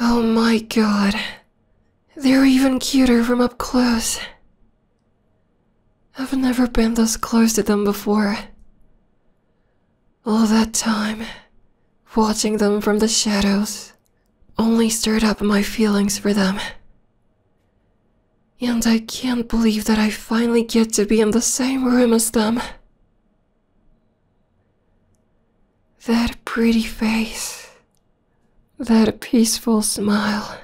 Oh my god. They're even cuter from up close. I've never been this close to them before. All that time, watching them from the shadows, only stirred up my feelings for them. And I can't believe that I finally get to be in the same room as them. That pretty face, that peaceful smile.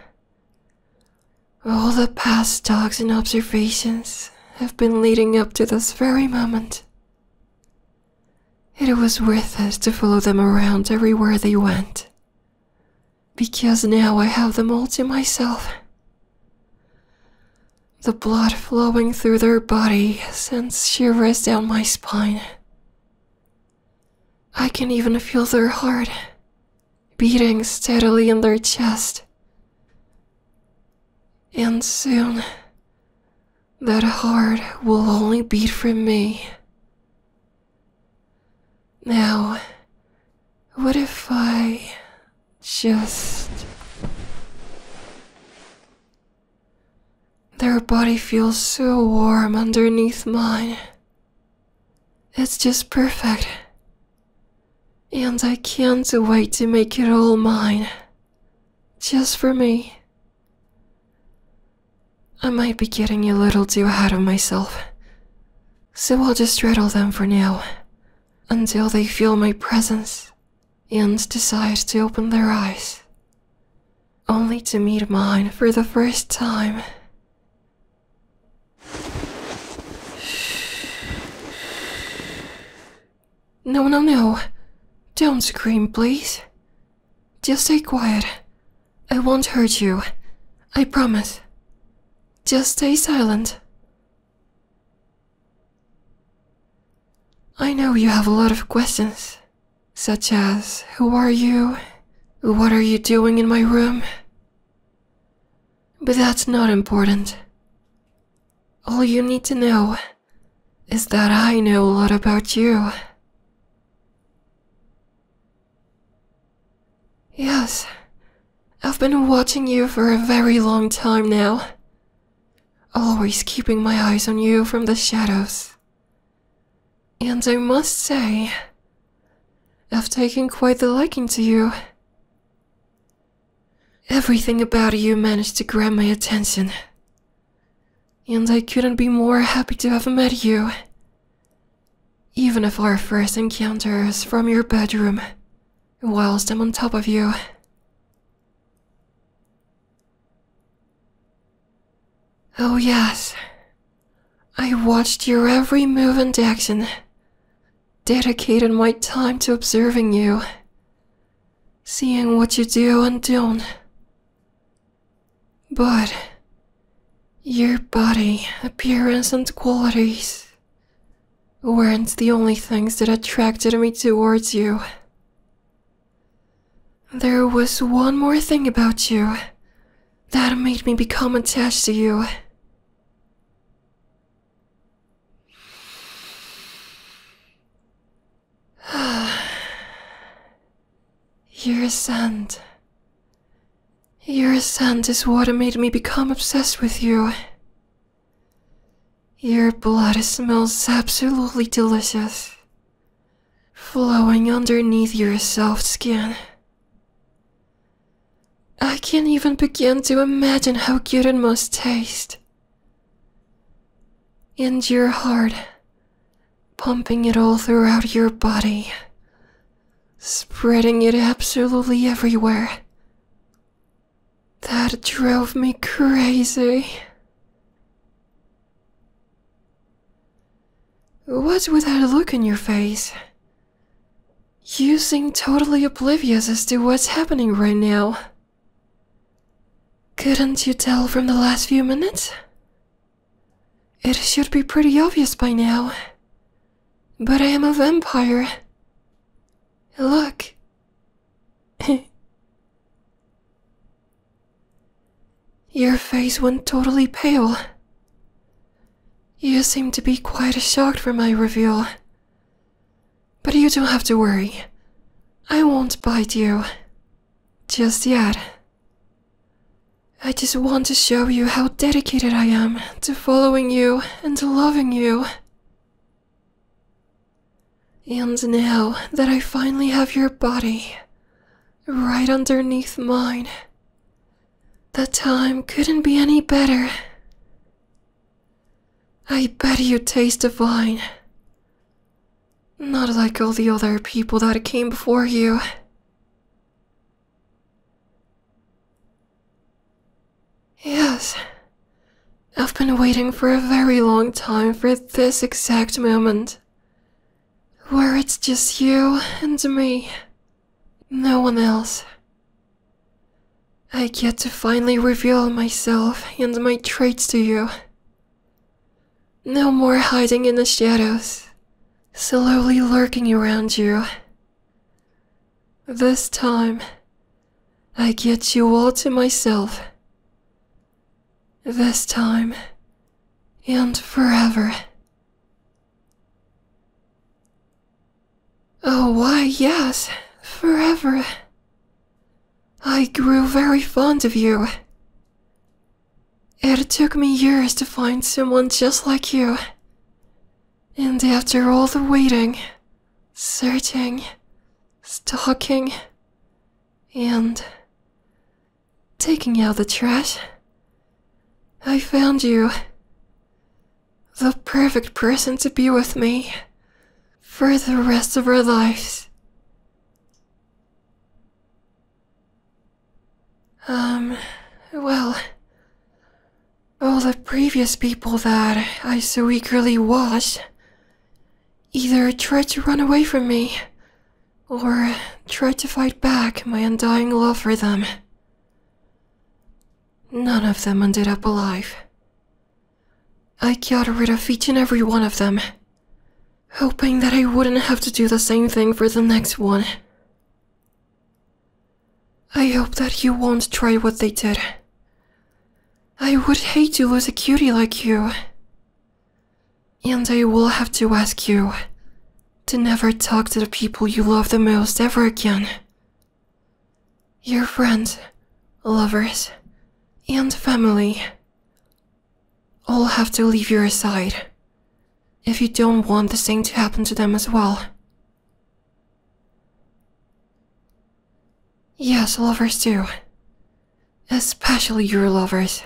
All the past talks and observations have been leading up to this very moment. It was worth it to follow them around everywhere they went. Because now I have them all to myself. The blood flowing through their body sends shivers down my spine I can even feel their heart beating steadily in their chest. And soon, that heart will only beat for me. Now, what if I just. Their body feels so warm underneath mine. It's just perfect. And I can't wait to make it all mine. Just for me. I might be getting a little too ahead of myself. So I'll just straddle them for now. Until they feel my presence and decide to open their eyes only to meet mine for the first time. No, no, no. Don't scream, please. Just stay quiet. I won't hurt you. I promise. Just stay silent. I know you have a lot of questions, such as Who are you? What are you doing in my room? But that's not important. All you need to know is that I know a lot about you. Yes, I've been watching you for a very long time now, always keeping my eyes on you from the shadows. And I must say, I've taken quite the liking to you. Everything about you managed to grab my attention. And I couldn't be more happy to have met you. Even if our first encounter is from your bedroom, whilst I'm on top of you. Oh, yes. I watched your every move and action, dedicated my time to observing you, seeing what you do and don't. But your body, appearance, and qualities weren't the only things that attracted me towards you. There was one more thing about you that made me become attached to you. Your scent. Your scent is what made me become obsessed with you. Your blood smells absolutely delicious flowing underneath your soft skin. I can't even begin to imagine how good it must taste. And your heart, pumping it all throughout your body, spreading it absolutely everywhere. That drove me crazy. What's with that look in your face? You seem totally oblivious as to what's happening right now. Couldn't you tell from the last few minutes? It should be pretty obvious by now. But I am a vampire. Look. Your face went totally pale. You seem to be quite shocked for my reveal. But you don't have to worry. I won't bite you. Just yet. I just want to show you how dedicated I am to following you and loving you. And now that I finally have your body right underneath mine, the time couldn't be any better. I bet you taste divine. Not like all the other people that came before you. Yes, I've been waiting for a very long time for this exact moment. Where it's just you and me. No one else. I get to finally reveal myself and my traits to you. No more hiding in the shadows, slowly lurking around you. This time, I get you all to myself. This time and forever. Oh, why, yes, forever. I grew very fond of you. It took me years to find someone just like you. And after all the waiting, searching, stalking, and taking out the trash. I found you. The perfect person to be with me for the rest of our lives. Um, well, all the previous people that I so eagerly watched either tried to run away from me or tried to fight back my undying love for them. None of them ended up alive. I got rid of each and every one of them, hoping that I wouldn't have to do the same thing for the next one. I hope that you won't try what they did. I would hate to lose a cutie like you. And I will have to ask you to never talk to the people you love the most ever again. Your friends, lovers, and family all have to leave your side if you don't want the same to happen to them as well. Yes, lovers do especially your lovers.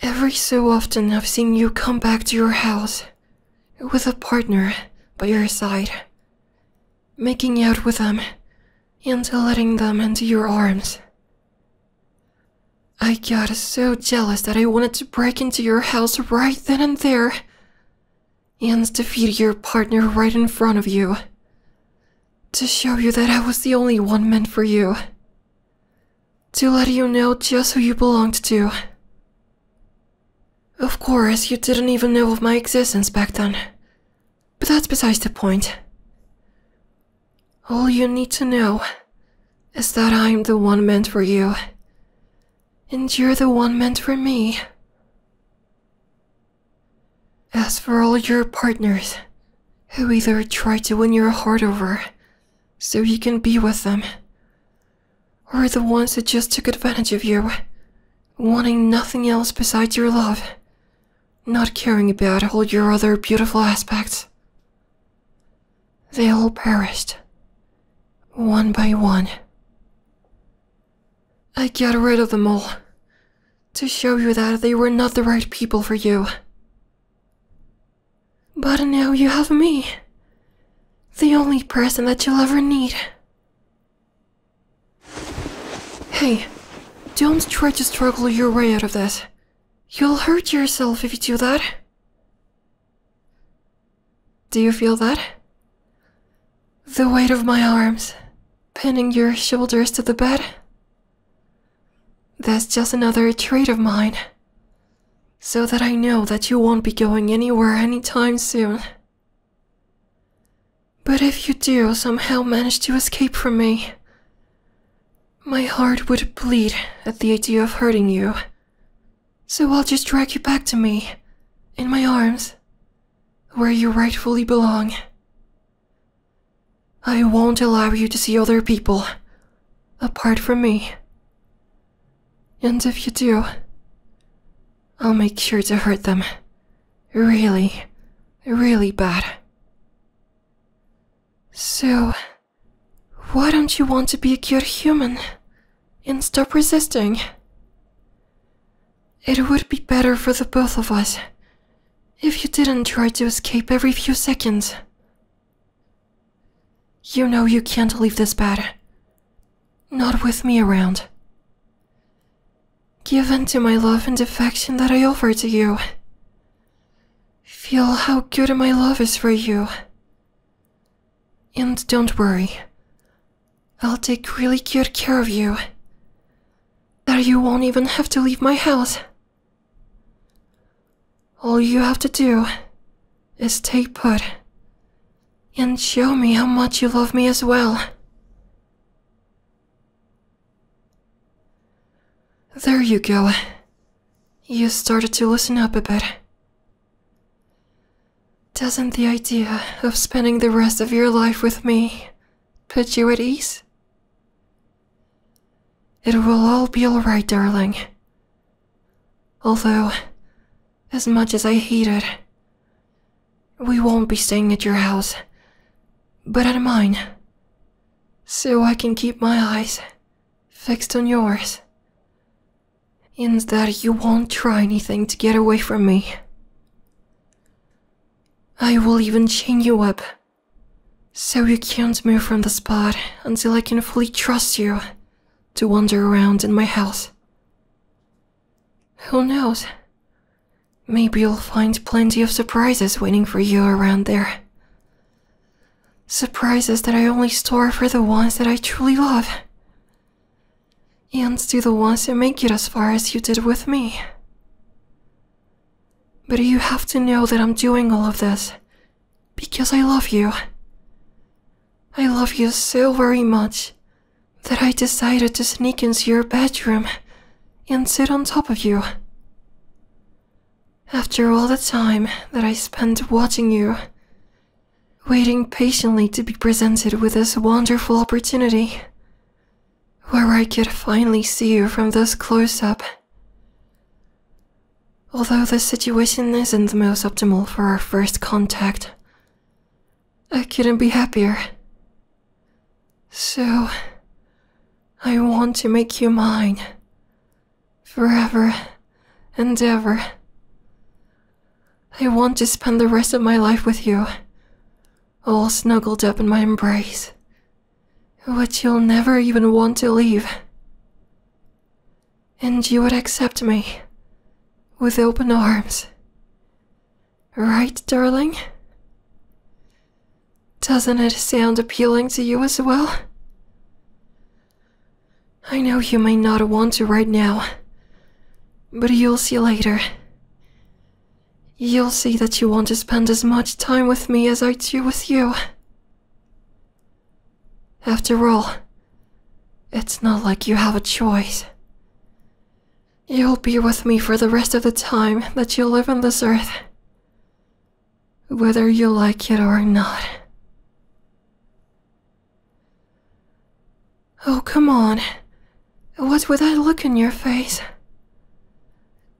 Every so often, I've seen you come back to your house with a partner by your side, making out with them and letting them into your arms. I got so jealous that I wanted to break into your house right then and there and defeat your partner right in front of you. To show you that I was the only one meant for you. To let you know just who you belonged to. Of course, you didn't even know of my existence back then. But that's besides the point. All you need to know is that I'm the one meant for you. And you're the one meant for me. As for all your partners, who either tried to win your heart over so you can be with them, or the ones that just took advantage of you, wanting nothing else besides your love, not caring about all your other beautiful aspects. They all perished, one by one. I got rid of them all, to show you that they were not the right people for you. But now you have me. The only person that you'll ever need. Hey, don't try to struggle your way out of this. You'll hurt yourself if you do that. Do you feel that? The weight of my arms, pinning your shoulders to the bed, that's just another trait of mine. So that I know that you won't be going anywhere any time soon. But if you do somehow manage to escape from me, my heart would bleed at the idea of hurting you. So I'll just drag you back to me, in my arms, where you rightfully belong. I won't allow you to see other people apart from me. And if you do, I'll make sure to hurt them really, really bad. So, why don't you want to be a good human and stop resisting? It would be better for the both of us if you didn't try to escape every few seconds. You know you can't leave this bed. Not with me around. Give in to my love and affection that I offer to you. Feel how good my love is for you. And don't worry. I'll take really good care of you. There, you won't even have to leave my house. All you have to do is stay put and show me how much you love me as well. There you go. You started to listen up a bit. Doesn't the idea of spending the rest of your life with me put you at ease? It will all be alright, darling. Although, as much as I hate it, we won't be staying at your house, but at mine. So I can keep my eyes fixed on yours. and that you won't try anything to get away from me. I will even chain you up so you can't move from the spot until I can fully trust you to wander around in my house. Who knows? Maybe you'll find plenty of surprises waiting for you around there. Surprises that I only store for the ones that I truly love. And to the ones that make it as far as you did with me. But you have to know that I'm doing all of this because I love you. I love you so very much that I decided to sneak into your bedroom and sit on top of you. After all the time that I spent watching you, waiting patiently to be presented with this wonderful opportunity, where I could finally see you from this close up Although this situation isn't the most optimal for our first contact, I couldn't be happier. So, I want to make you mine. Forever and ever. I want to spend the rest of my life with you, all snuggled up in my embrace, which you'll never even want to leave. And you would accept me. With open arms. Right, darling? Doesn't it sound appealing to you as well? I know you may not want to right now, but you'll see later. You'll see that you want to spend as much time with me as I do with you. After all, it's not like you have a choice. You'll be with me for the rest of the time that you live on this earth, whether you like it or not. Oh, come on. What would I look in your face?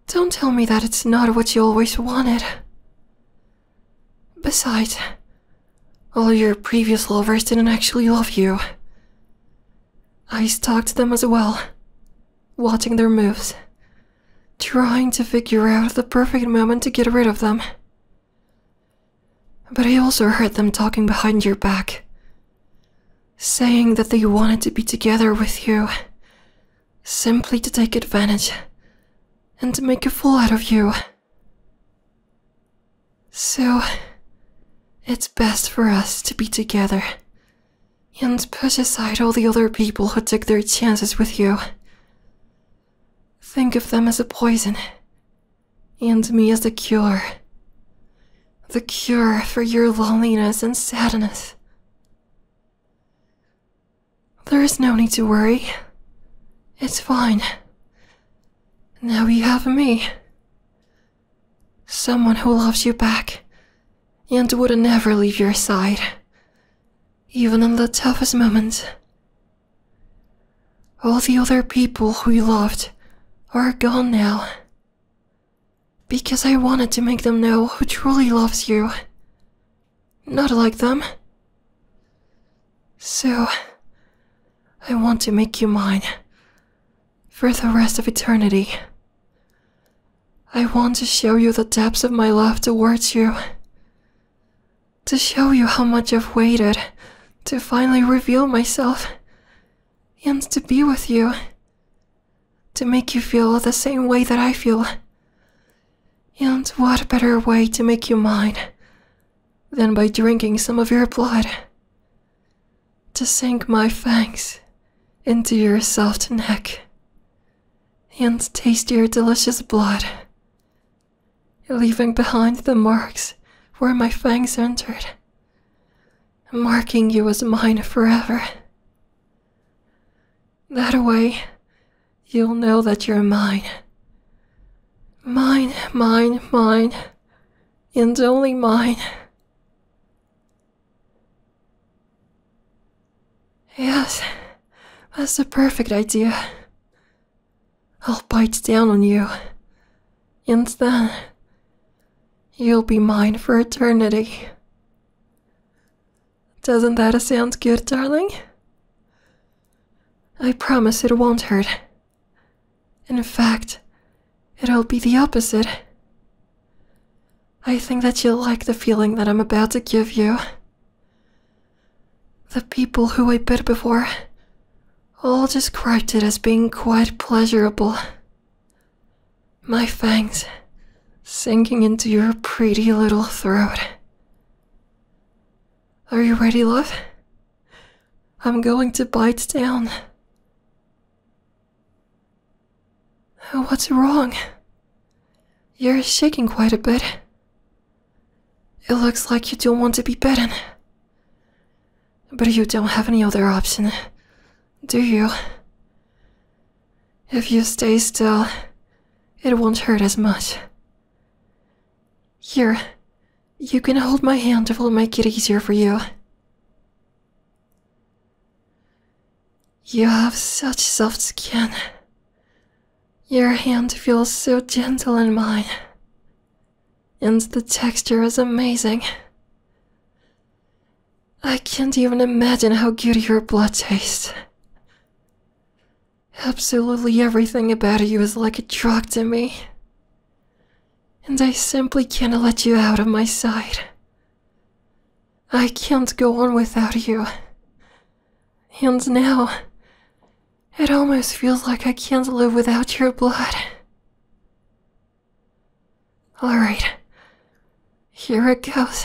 Don't tell me that it's not what you always wanted. Besides, all your previous lovers didn't actually love you. I stalked them as well, watching their moves, trying to figure out the perfect moment to get rid of them. But I also heard them talking behind your back, saying that they wanted to be together with you simply to take advantage and to make a fool out of you. So, it's best for us to be together and put aside all the other people who take their chances with you. Think of them as a poison, and me as the cure. The cure for your loneliness and sadness. There is no need to worry. It's fine. Now you have me. Someone who loves you back and would never leave your side, even in the toughest moments. All the other people who loved are gone now. Because I wanted to make them know who truly loves you not like them. So, I want to make you mine for the rest of eternity. I want to show you the depths of my love towards you, to show you how much I've waited to finally reveal myself and to be with you, to make you feel the same way that I feel and what better way to make you mine than by drinking some of your blood? To sink my fangs into your soft neck and taste your delicious blood, leaving behind the marks where my fangs entered, marking you as mine forever. That way, you'll know that you're mine. Mine, mine, mine, and only mine. Yes, that's a perfect idea. I'll bite down on you, and then you'll be mine for eternity. Doesn't that sound good, darling? I promise it won't hurt. In fact, it'll be the opposite. I think that you'll like the feeling that I'm about to give you. The people who I bit before all described it as being quite pleasurable. My fangs sinking into your pretty little throat. Are you ready, love? I'm going to bite down. What's wrong? You're shaking quite a bit. It looks like you don't want to be bitten. But you don't have any other option, do you? If you stay still, it won't hurt as much. Here, you can hold my hand, it will make it easier for you. You have such soft skin. Your hand feels so gentle in mine. And the texture is amazing. I can't even imagine how good your blood tastes. Absolutely everything about you is like a drug to me. And I simply can't let you out of my sight. I can't go on without you. And now, it almost feels like I can't live without your blood. Alright, here it goes.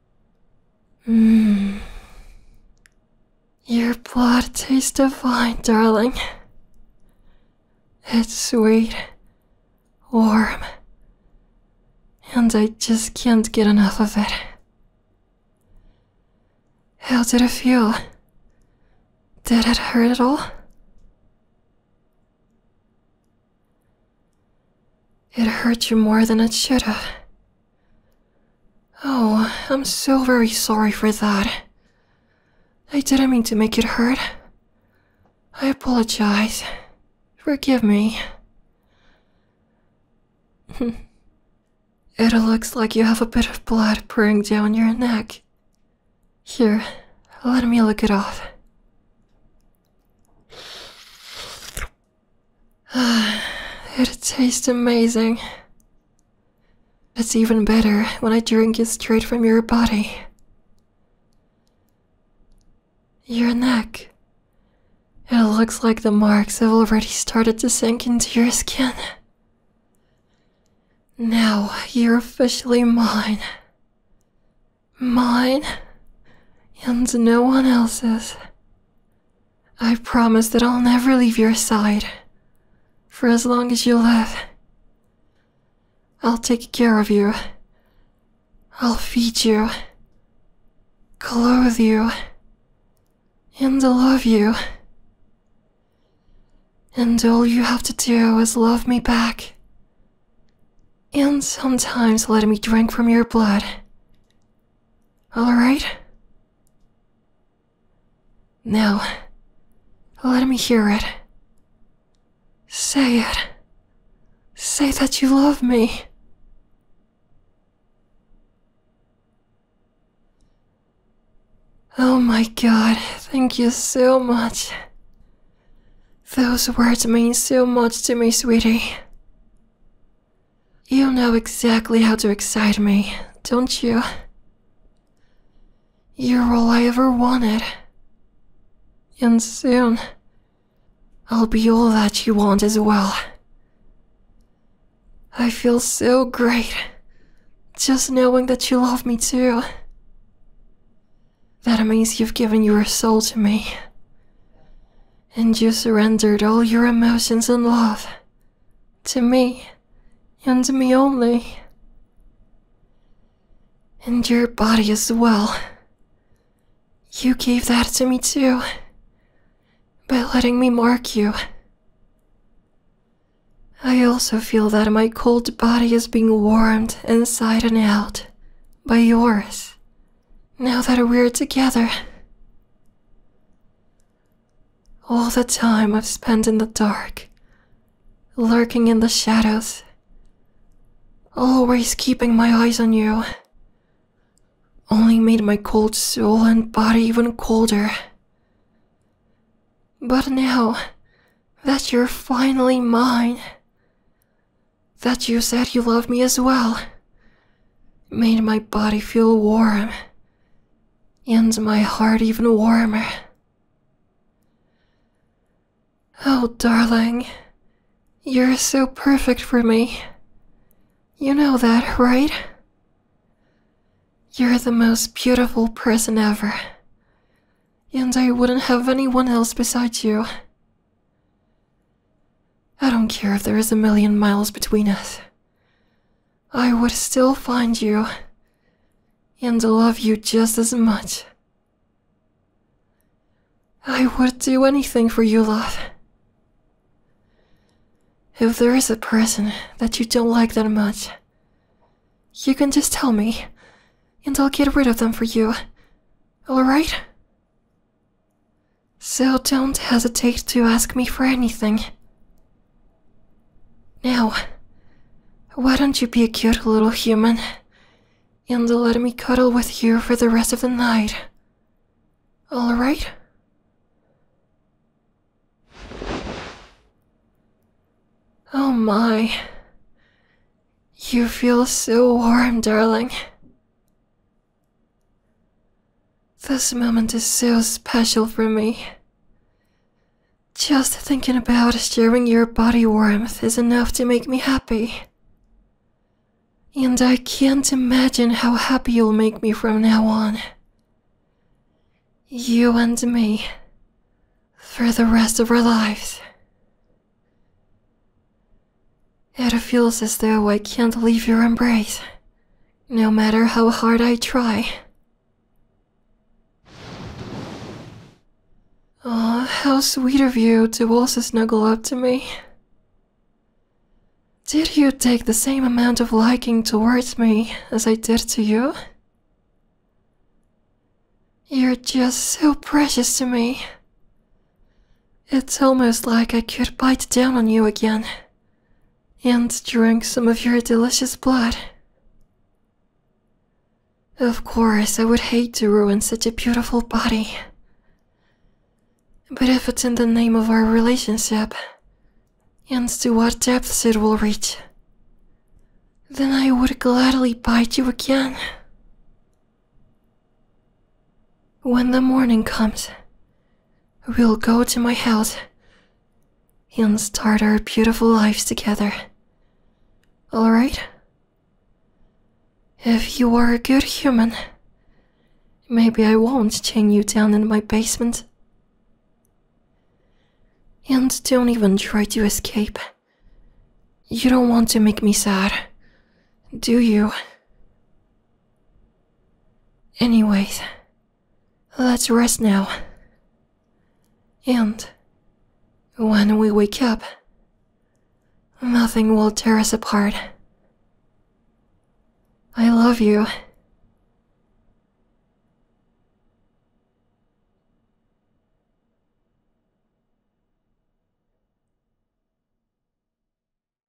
Hmm. Your blood tastes divine, darling. It's sweet, warm, and I just can't get enough of it. How did it feel? Did it hurt at all? It hurt you more than it should have. Oh, I'm so very sorry for that. I didn't mean to make it hurt. I apologize. Forgive me. it looks like you have a bit of blood pouring down your neck. Here, let me look it off. it tastes amazing. It's even better when I drink it straight from your body. Your neck. It looks like the marks have already started to sink into your skin. Now you're officially mine. Mine and no one else's. I promise that I'll never leave your side for as long as you live. I'll take care of you. I'll feed you, clothe you, and love you. And all you have to do is love me back. And sometimes let me drink from your blood all right. Now, let me hear it. Say it. Say that you love me. Oh my god, thank you so much. Those words mean so much to me, sweetie. You know exactly how to excite me, don't you? You're all I ever wanted. And soon, I'll be all that you want as well. I feel so great just knowing that you love me too. That means you've given your soul to me and you surrendered all your emotions and love to me and to me only. And your body as well. You gave that to me too by letting me mark you. I also feel that my cold body is being warmed inside and out by yours now that we're together all the time I've spent in the dark, lurking in the shadows, always keeping my eyes on you, only made my cold soul and body even colder. But now that you're finally mine, that you said you loved me as well made my body feel warm and my heart even warmer. Oh, darling, you're so perfect for me. You know that, right? You're the most beautiful person ever, and I wouldn't have anyone else besides you. I don't care if there is a million miles between us. I would still find you and love you just as much. I would do anything for you, love. If there is a person that you don't like that much, you can just tell me, and I'll get rid of them for you, alright? So don't hesitate to ask me for anything. Now, why don't you be a cute little human and let me cuddle with you for the rest of the night? Alright? Oh my. You feel so warm, darling. This moment is so special for me. Just thinking about sharing your body warmth is enough to make me happy. And I can't imagine how happy you'll make me from now on. You and me. For the rest of our lives. It feels as though I can't leave your embrace, no matter how hard I try. Oh, how sweet of you to also snuggle up to me. Did you take the same amount of liking towards me as I did to you? You're just so precious to me. It's almost like I could bite down on you again and drink some of your delicious blood. Of course, I would hate to ruin such a beautiful body. But if it's in the name of our relationship, and to what depths it will reach, then I would gladly bite you again. When the morning comes, We'll go to my house and start our beautiful lives together. Alright? If you are a good human, maybe I won't chain you down in my basement. And don't even try to escape. You don't want to make me sad, do you? Anyways, let's rest now. And when we wake up, nothing will tear us apart. I love you.